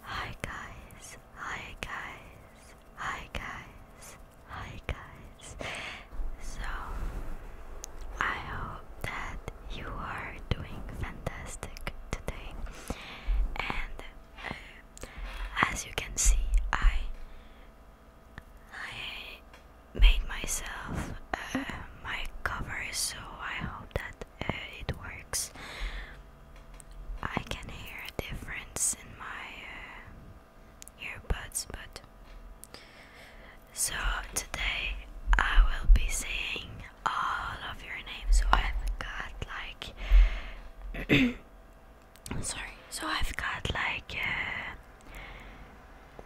Hi guys, hi guys, hi guys, hi guys. So, I hope that you are doing fantastic today. And uh, as you can see, I I made myself uh, my cover, so I hope that uh, it works. I can hear a difference in my uh, earbuds, but so today I will be saying all of your names. So I've got like, sorry. So I've got like uh,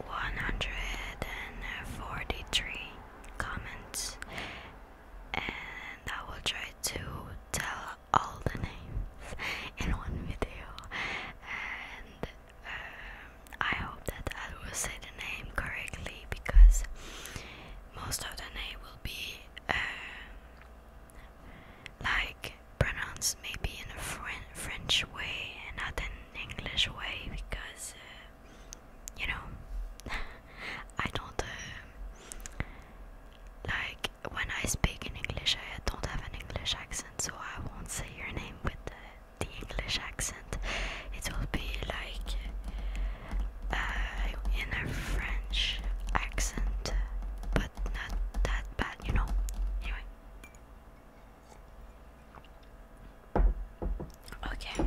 143 comments, and I will try to tell all the names in one video and um, I hope that I will say the name correctly because most of the name will be um, like pronounced maybe in a French way and not in English way because uh, you know, I don't uh, like when I speak in English. I don't have an English accent, so I won't say your name with the, English accent. It will be like uh, in a French accent, but not that bad, you know. Anyway. Okay.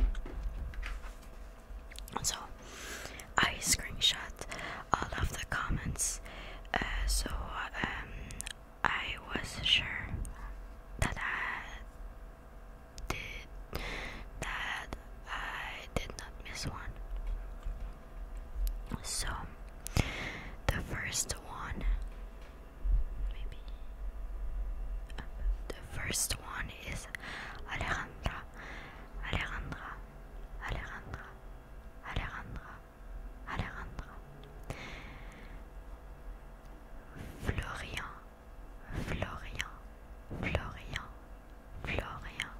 So I screenshot all of the comments, uh, so um, I was sure that I did that I did not miss one. So the first one, maybe uh, the first one Alice, Alejandra, Alejandra, Alejandra, Alejandra, Alejandra, Florian, Florian, Florian, Florian,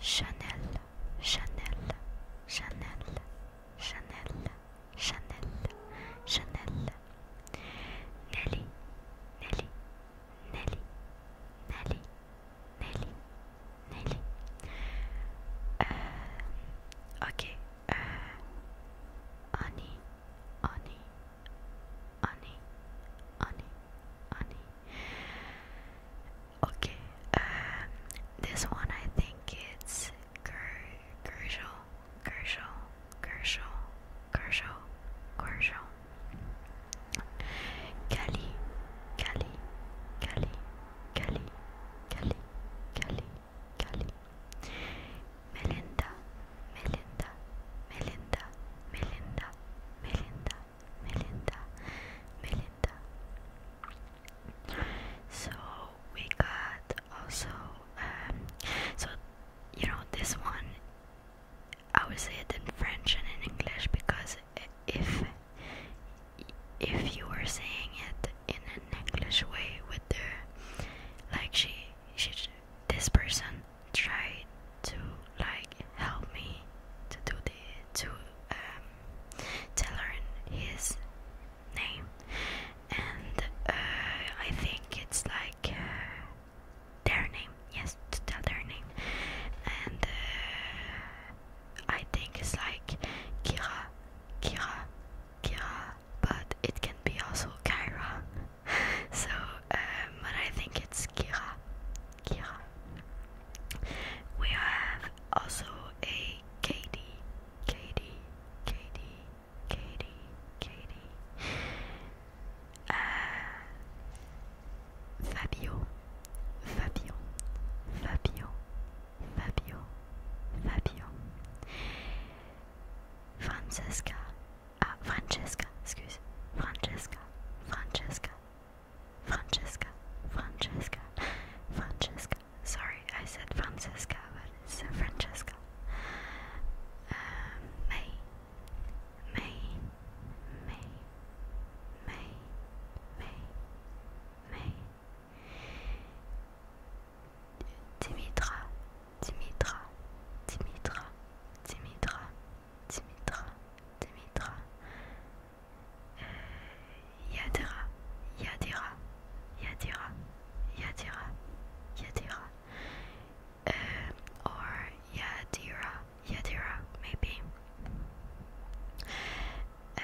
Chanel, Chanel, Chanel, Chanel, Chanel, Chanel, Nelly, Nelly, Nelly, Nelly, Nelly, Nelly. Uh, ok. Euh, Annie, Annie, Annie, Annie, Okay. Um, this one I think it's Ger Gershel. Gershel, Gershel, Gershel, Gershel. Kelly, Kelly, Kelly, Kelly, Kelly, Kelly, Kelly. Melinda, Melinda, Melinda, Melinda, Melinda, Melinda, Melinda. So we got also um so you know, this one I would say it in French and in English because if if you were saying it in an English way with the like she she this person tried to like help me to do the to um tell her his name and uh, I think it's like uh, their name. Yes, to tell their name, and uh, I think it's like Kira, Kira, Kira, but it can be also Kyra. so, um, but I think it's Kira, Kira. We have also a Katie, Katie, Katie, Katie, Katie, uh, Fabio, Fabio, Fabio, Fabio, Fabio, Francesca, ah, Francesca, excuse, Francesca, Francesca, Francesca, Francesca, Francesca. Sorry, I said Francesca, C'est Francesca, euh, May, May, May, May, May, May, Dimitra, Dimitra, Dimitra, Dimitra, Dimitra, Dimitra, Dimitra. Uh, Yadira, Yadira, Yadira, Yadira, Yadira. um, or Yadira, Yadira maybe. Uh,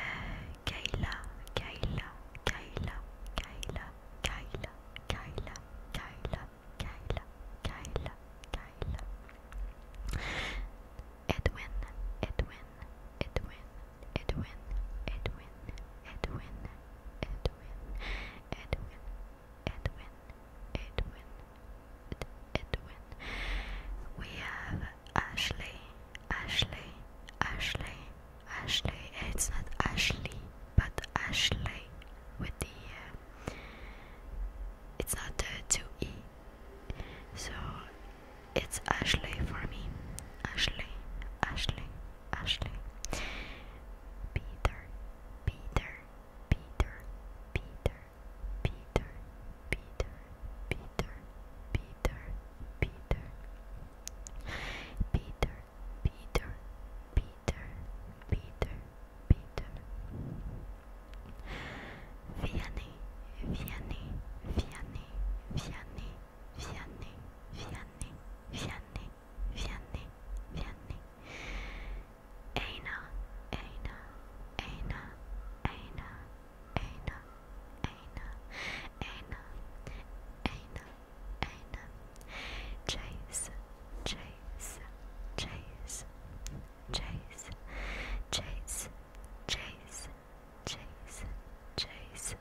Kayla, Kayla, Kayla, Kayla, Kayla, Kayla, Kayla, Kayla, Kayla, Kayla. Edwin, Edwin, Edwin, Edwin, Edwin, Edwin, Edwin, Edwin, Edwin, Edwin, Edwin. We have Ashley, Ashley, Ashley, Ashley. it's not Ashley, but Ashley with the. it's not the two e. So it's Ashley for me. Ashley, Ashley, Ashley. Peter, Peter, Peter, Peter, Peter, Peter, Peter, Peter, Peter, Peter, Peter, Peter, Peter, Peter. Vianney, Vianney, Vianney, Vianney, Vianney, Vianney, vieni, vieni. Eina, eina, eina, eina, eina, eina, eina, eina, eina. Chase, chase, chase, chase, chase, chase, chase, chase,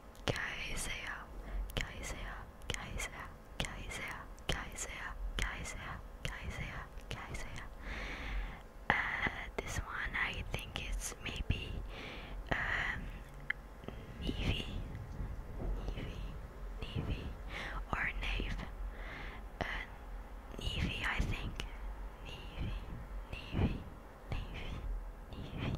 Kaisea, Kaisea, Kaisea, Kaisea, Kaisea, Kaisea, Kaisea, Kaisea. Uh, this one I think it's maybe um, Navy, Navy, Navy, or Nave. Uh, Navy, I think. Navy, Navy, Navy, Navy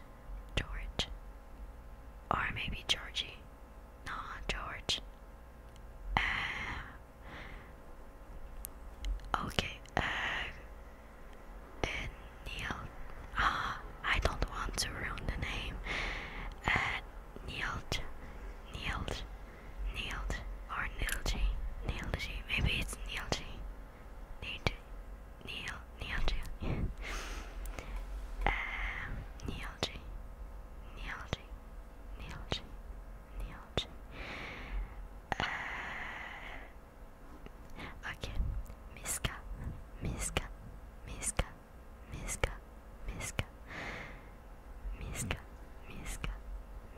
George, or maybe Georgie. No, George. Uh, okay. Uh, Neil. Ah, I don't want to ruin the name. Uh, Neil, Neil, Neil, or Neil G. Maybe it's Neil Neil, Neil, Neil G. um, Neil G. Neil G. Neil G. Neil G. Uh, okay, Miska, Miska, Miska, Miska, Miska, Miska, Miska,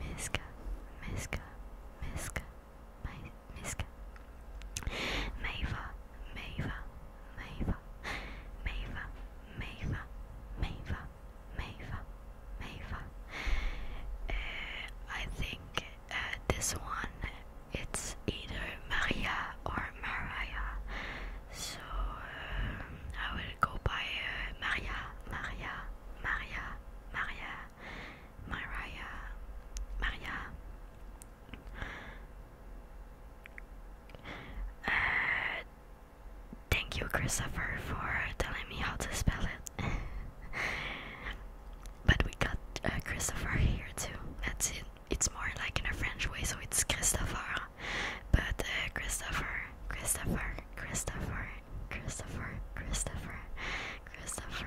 Miska, Miska, Miska, Miska, miska meyve meyve meyve meyve meyve meyve meyve meyve uh, I think uh, this one it's either Maria or Maria so um, I will go by uh, Maria Maria Maria Maria Maria, Maria. Uh, thank you, Christopher, for telling me how to spell it. but we got uh, Christopher here too. That's it. It's more like in a French way, so it's Christopher. But uh, Christopher, Christopher, Christopher, Christopher, Christopher, Christopher,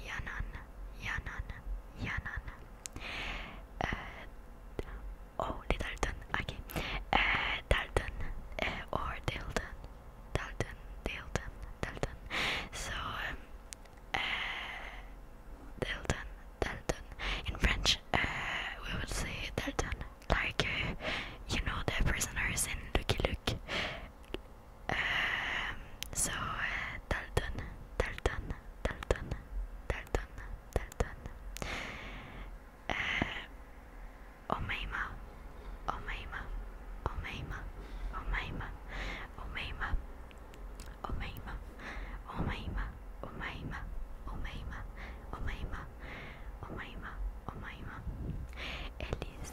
Yanan, Yanan, Yanan. Uh, only oh, Dalton, okay. Uh, uh, or Dilton, Dalton, Dilton, Dalton. So, um, uh, In French, we would say Dalton, like you know the prisoners in Lucky Luke so uh, Dalton, Dalton, Dalton, Dalton, Dalton, uh, Omeima, Omeima, Omeima, Omeima, Omeima, Omeima, Omeima, Omeima, Omeima, Omeima, Omeima, Omeima, Elis,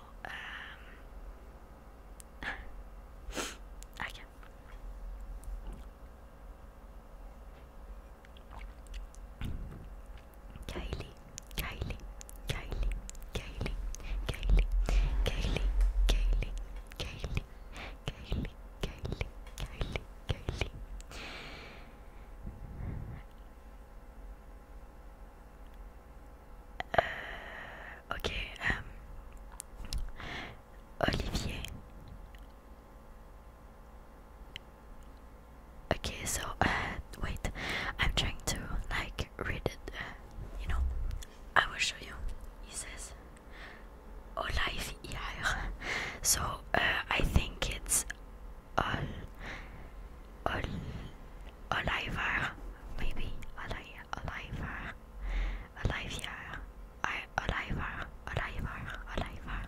um, okay. Kylie, Kylie, Kylie, Kylie, Kylie, Kylie, Kylie, Kylie, Kylie, Kylie, Kylie, Kylie. Euh, ok. Euh, Olivier. Okay, so uh, wait, I'm trying to like read it. Uh, you know, I will show you. He says, "Olaf oh, So uh, I think it's Ol, Ol, Oliver, maybe Oli, Oliver, Olivier, I, Oliver, Oliver, Oliver,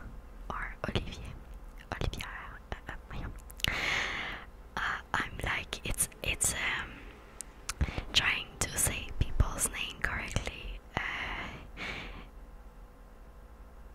or Olivier, Olivier. Uh, yeah. uh, I'm like it's it's um trying to say people's name correctly. Uh,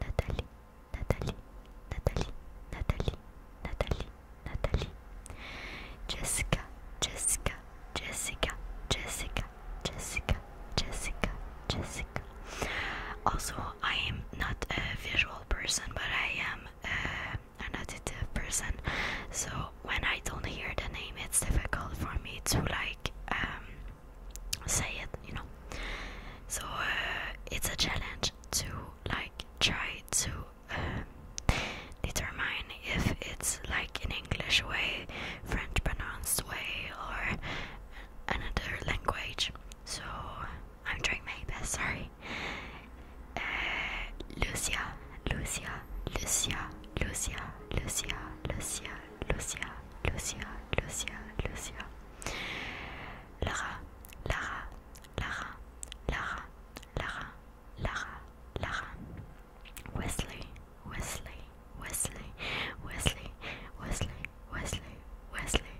Nathalie, Nathalie, Nathalie, Nathalie, Nathalie, Nathalie, Jessica, Jessica, Jessica, Jessica, Jessica, Jessica, Jessica. Also, I am not a visual person, but I am uh, an auditive person. So when I don't hear the name, it's difficult for me to like um, say it, you know. So uh, it's a challenge to like try to um, determine if it's like an English way, French pronounced way, or another language. So I'm trying my best. Sorry, uh, Lucia, Lucia, Lucia, Lucia, Lucia, Lucia, Lucia, Lucia, Lucia, Lucia. Lara, Lara, Lara, Lara, Lara, Lara, Lara. Wesley, Wesley, Wesley, Wesley, Wesley, Wesley, Wesley,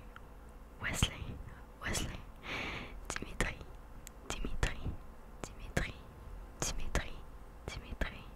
Wesley, Wesley. Dimitri, Dimitri, Dimitri, Dimitri, Dimitri,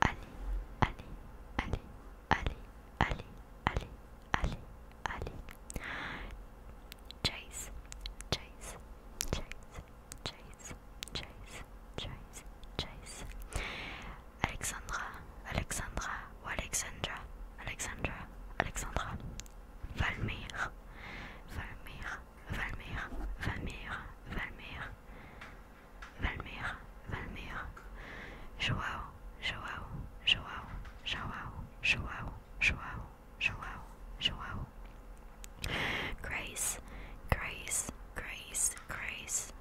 Allez, allez, allez, allez, allez, allez, allez, allez. Chase, chase, chase, chase, chase, chase, chase. Alexandra, Alexandra ou Alexandra, Alexandra, Alexandra. Valmir, Valmir, Valmir, Valmir, Valmir, Valmer, Valmer, Joao, Joao, Joao, Joao, Joao, Joao, Joao, Joao. Grace, Grace, Grace, Grace,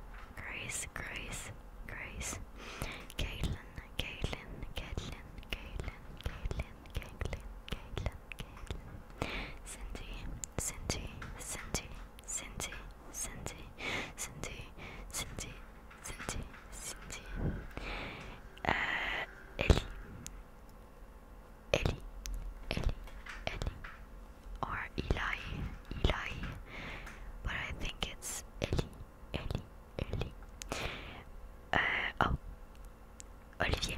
Grace, Grace, Grace. Caitlin, Caitlin, Caitlin, Caitlin, Caitlin, Caitlin, Caitlin, Cindy, Cindy, Cindy, Cindy, Cindy, Cindy, Cindy, Cindy, Cindy, uh, Ellie, Ellie, Ellie, Ellie, or Eli, Eli, but I think it's Ellie, Ellie, Ellie. Uh, oh, Olivier,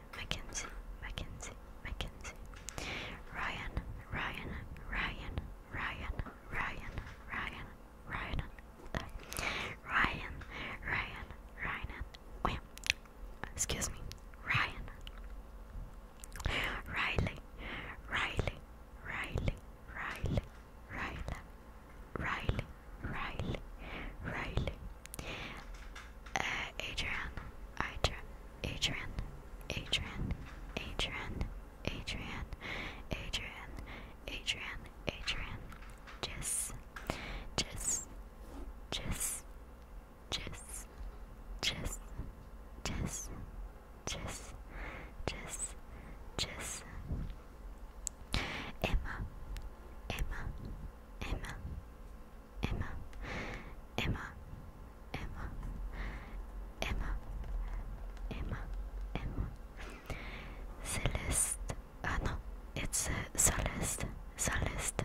Mackenzie, Mackenzie, Mackenzie, Ryan, Ryan, Ryan, Ryan, Ryan, Ryan, Ryan, uh, Ryan, Ryan, Ryan, Wait, oh, excuse me, Ryan, Riley, Riley, Riley, Riley, Riley, Riley, Riley, Riley, uh, Adrian, Adrian, Adrian, Adrian, Adrian, Adrian, Adrian, Adrian, Adrian, Jess, Jess, Jess, Jess, Jess, Jess, Jess, Jess, Jess, Emma, Emma, Emma. Emma, Emma, Emma, Emma, Emma, Emma. Celeste. Ah no, it's uh, Celeste, Celeste,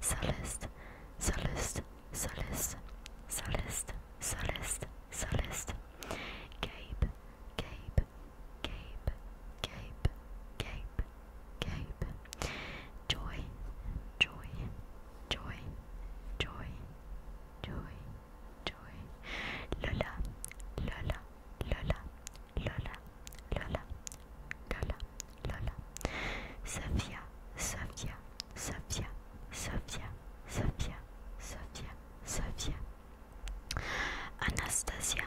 Celeste, Celeste, Celeste, Celeste, Celeste, Celeste. Gabe, Gabe, Gabe, Gabe, Gabe, Gabe. Joy, joy, joy, joy, joy, joy. Lola, Lola, Lola, Lola, Lola, Lola, Lola. Sofia, Sofia, Sofia, Sofia, Sofia, Sofia, Sofia, Anastasia,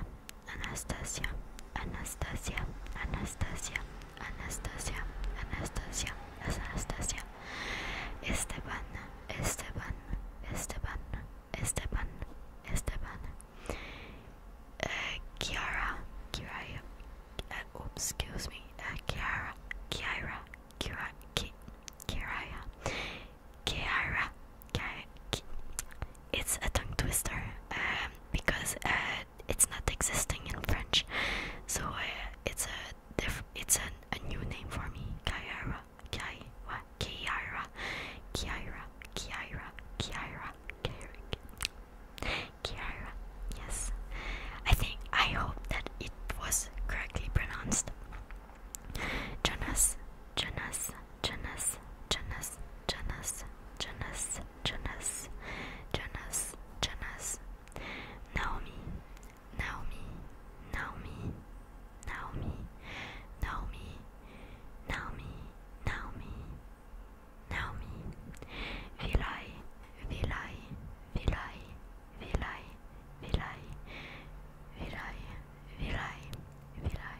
Anastasia, Anastasia, Anastasia, Anastasia, Anastasia, Anastasia, Esteban, Esteban, Esteban, Esteban, Esteban, uh, Kiara, Kiara, uh, oops, excuse me, uh, Kiara, Kiara, Kiara, Kiara, Kiara, Kiara, Kiara, it's a tongue twister um, because uh, it's not existing in French, so uh, it's a diff it's a, a new name for me. Kyra, Ky, what? Kyra, Kyra, Kyra, Kyra, Kyra, Kyra. Yes, I think I hope that it was correctly pronounced. Jonas, Jonas, Jonas, Jonas, Jonas, Jonas. Jonas, Jonas, Jonas, Naomi, Naomi, Naomi, Naomi, Naomi, Naomi, Naomi, Naomi, Vilai, Vilai, Vilai, Vilai, Vilai, Vilai, Vilai, Vilai,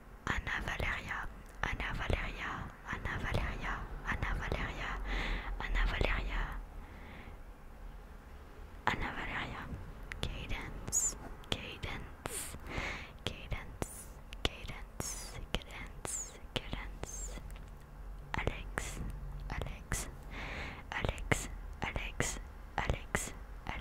Anna Valeria, Anna Valeria, Anna Valeria, Anna Valeria, Anna Valeria, Anna Valeria, Cadence, Cadence, Cadence, Cadence, Cadence, Cadence, Alex, Alex, Alex, Alex, Alex, Alex,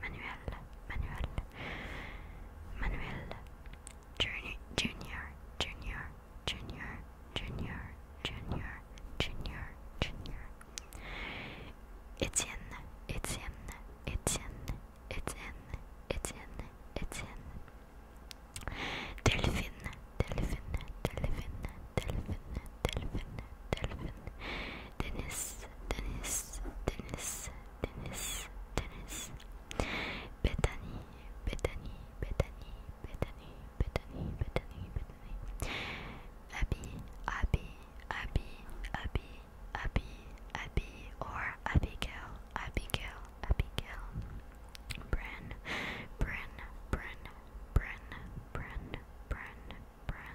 Manuel, Manuel, Manuel, Junior, Junior, Junior, Junior, Junior, Junior, Junior, Junior, Etienne, Etienne, Etienne, Etienne, Etienne, Etienne, Delphine, Delphine, Delphine, Delphine, Delphine, Delphine, Dennis, Dennis, Dennis, Dennis, Dennis, Bethany, Bethany, Bethany, Bethany, Bethany, Bethany, Bethany, Abby, Abby, Abby, Abby, Abby, Abby, or Abigail, Abigail, Abigail, Bren, Bren, Bren, Bren, Bren, Bren, Bren,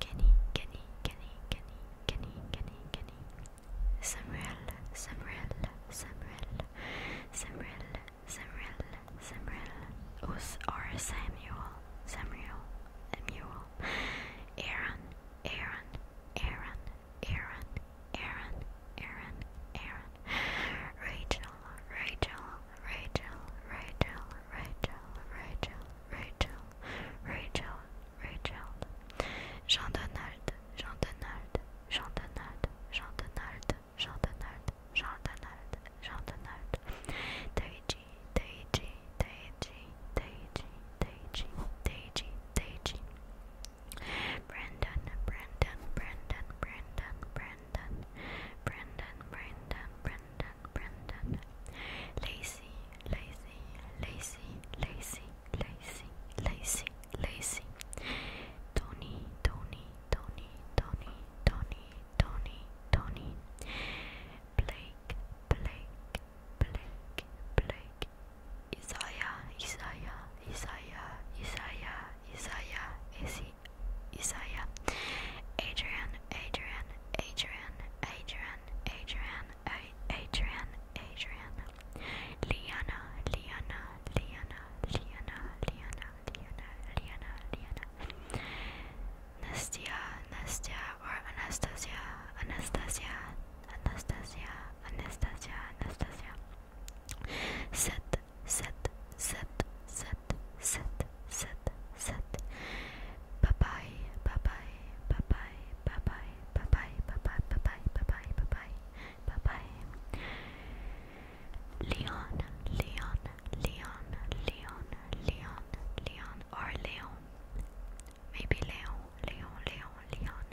Kenny, Kenny, Kenny, Kenny, Kenny, Kenny, Kenny. Samuel, Samuel, Samuel, Samuel, Samuel, Samuel. Us or Samuel, Samuel, Samuel. Aaron, Aaron, Aaron, Aaron, Aaron, Aaron, Aaron. Rachel, Rachel, Rachel, Rachel, Rachel, Rachel, Rachel, Rachel, Rachel, Jean Donald, Jean Donald, Jean Donald, Jean Donald, Jean Donald, Jean Donald, Jean Donald, Daichi, Daichi, Daichi, Daichi, Daichi, Daichi, Daichi, Brandon, Brandon, Brandon, Brandon, Brandon, Brandon, Brandon, Brandon. Brendan, Brendan, Lazy, Lazy, Lazy, Lazy, Lazy, Lazy, Lazy, Tony, Tony, Tony, Tony, Tony, Tony, Tony, Blake, Blake, Blake, Blake, Isaiah, Isaiah, Isaiah, Isaiah, Isaiah, Isaiah, Isaiah, Adrian, Adrian, Adrian, Adrian, Adrian, Adrian, Adrian, Liana, Liana, Liana, Liana, Liana, Liana, Liana, Liana, Nastia, Nastia, or Anastasia, Anastasia, Anastasia, Anastasia, Anastasia, Set, Set, Set, Set, Set. Set set. bye bye, bye bye, bye bye, bye bye, bye bye, bye bye, bye bye, bye bye. Leon, Leon, Leon, Leon, Leon, Leon, or Leon. Maybe Leon, Leon, Leon, Leon.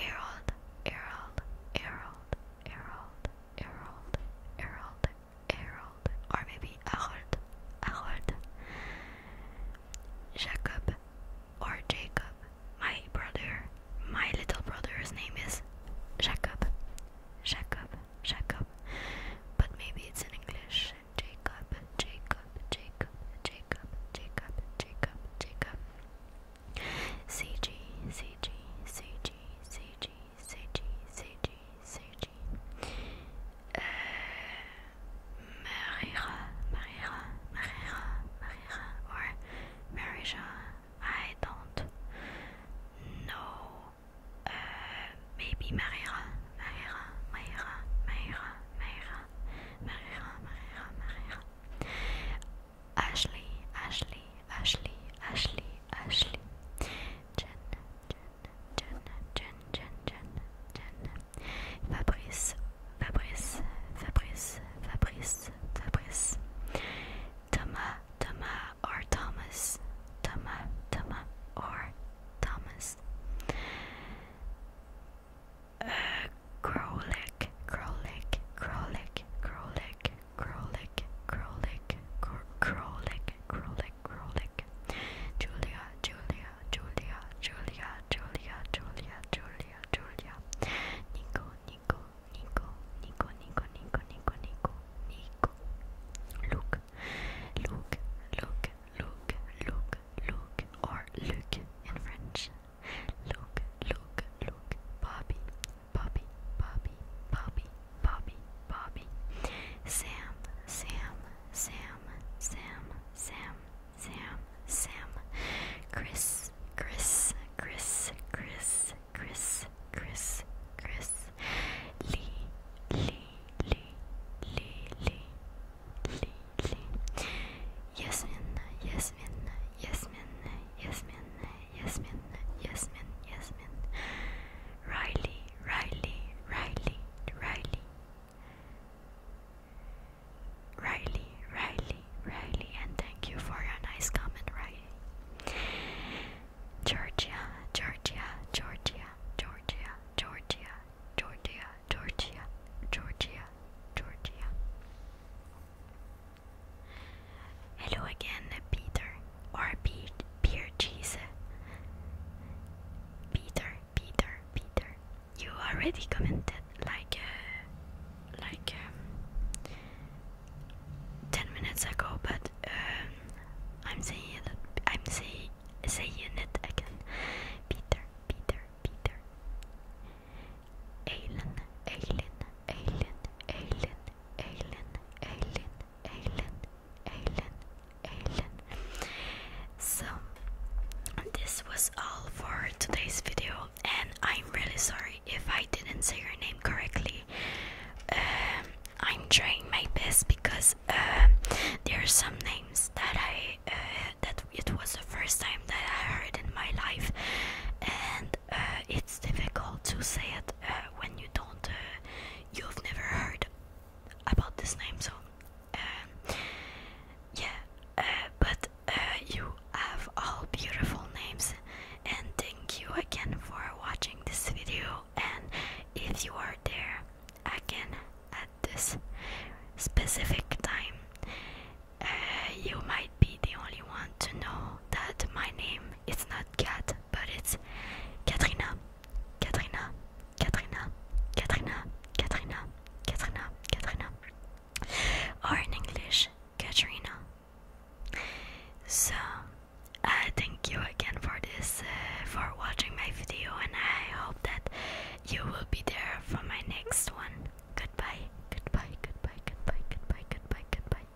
Harold, Harold, Harold, Harold, Harold, Harold, Harold, or maybe Harold, Harold, Jacob, or Jacob. My brother, my little brother's name is Jacob, Jacob, Jacob. But maybe it's in English. Jacob, Jacob, Jacob, Jacob, Jacob, Jacob, Jacob. CG, CG, CG, CG, Seiji, Euh, Marira, Marira, Marira, or I don't know. Euh, maybe Marira, Marira, Marira, Marira, Marira, Marira, Marira, Ashley, Ashley, Ashley, Ashley, Ashley. Jen, Jen, Fabrice, Fabrice, Fabrice, Fabrice, Fabrice, Thomas, Thomas, or Thomas, Thomas, Thomas, or Thomas, uh, Crowlick, Crowlick, Crowlick, Krolik, Krolik, Krolik, Krolik, Krolik, Julia, Julia, Julia, Julia, Julia, Julia, Julia, Julia, Nico, Nico, Nico, Nico, Nico, Nico, Nico, Nico, Nico, Luke, Luke, Luke, Luke, Luke, Luke, or Luke in French. Luke, Luke, Luke, Bobby, Bobby, Bobby, Bobby, Bobby, Bobby, Sam, Sam, Sam, Sam, Sam, Sam, Sam, Chris, Chris, Chris, Chris, Chris, Chris, Chris, Lee, Lee, Lee, Lee, Lee, Lee, Lee, Yasmin, Yasmin, Yasmin, Yasmin, Yasmin, Yasmin, Yasmin, Riley, Riley, Riley, Riley, Riley, Riley, Riley, and thank you for your nice comment, Riley. Georgia, Georgia, Georgia, Georgia, Georgia, Georgia, Georgia, Georgia, Georgia. Hello again, Peter or Pe Peer Cheese. Peter, Peter, Peter. You already commented like uh, like um, ten minutes ago, but um, I'm saying it. I'm say, saying it again. Peter, Peter, Peter. Aileen, Aileen, Aileen, Aileen, Aileen, Aileen, Eileen, Eileen, Eileen. So this was all for today's video, and I'm really sorry if I didn't say your name correctly. Um, I'm trying my best because um, there are some names that I uh, that it was the first time that I heard in my life, and uh, it's difficult to say it uh, when you don't uh, you've never heard about this name so um, yeah but you have all beautiful names and thank you again for watching this video and if you are there again at this specific time you might be the only one to know that my name is not Kat, but it's Katrina. Katrina, Katrina, Katrina, Katrina, Katrina, Katrina. Or in English, Katrina. So, uh, thank you again for this, uh, for watching my video, and I hope that you will be there for my next one. Goodbye, goodbye, goodbye, goodbye, goodbye, goodbye, goodbye.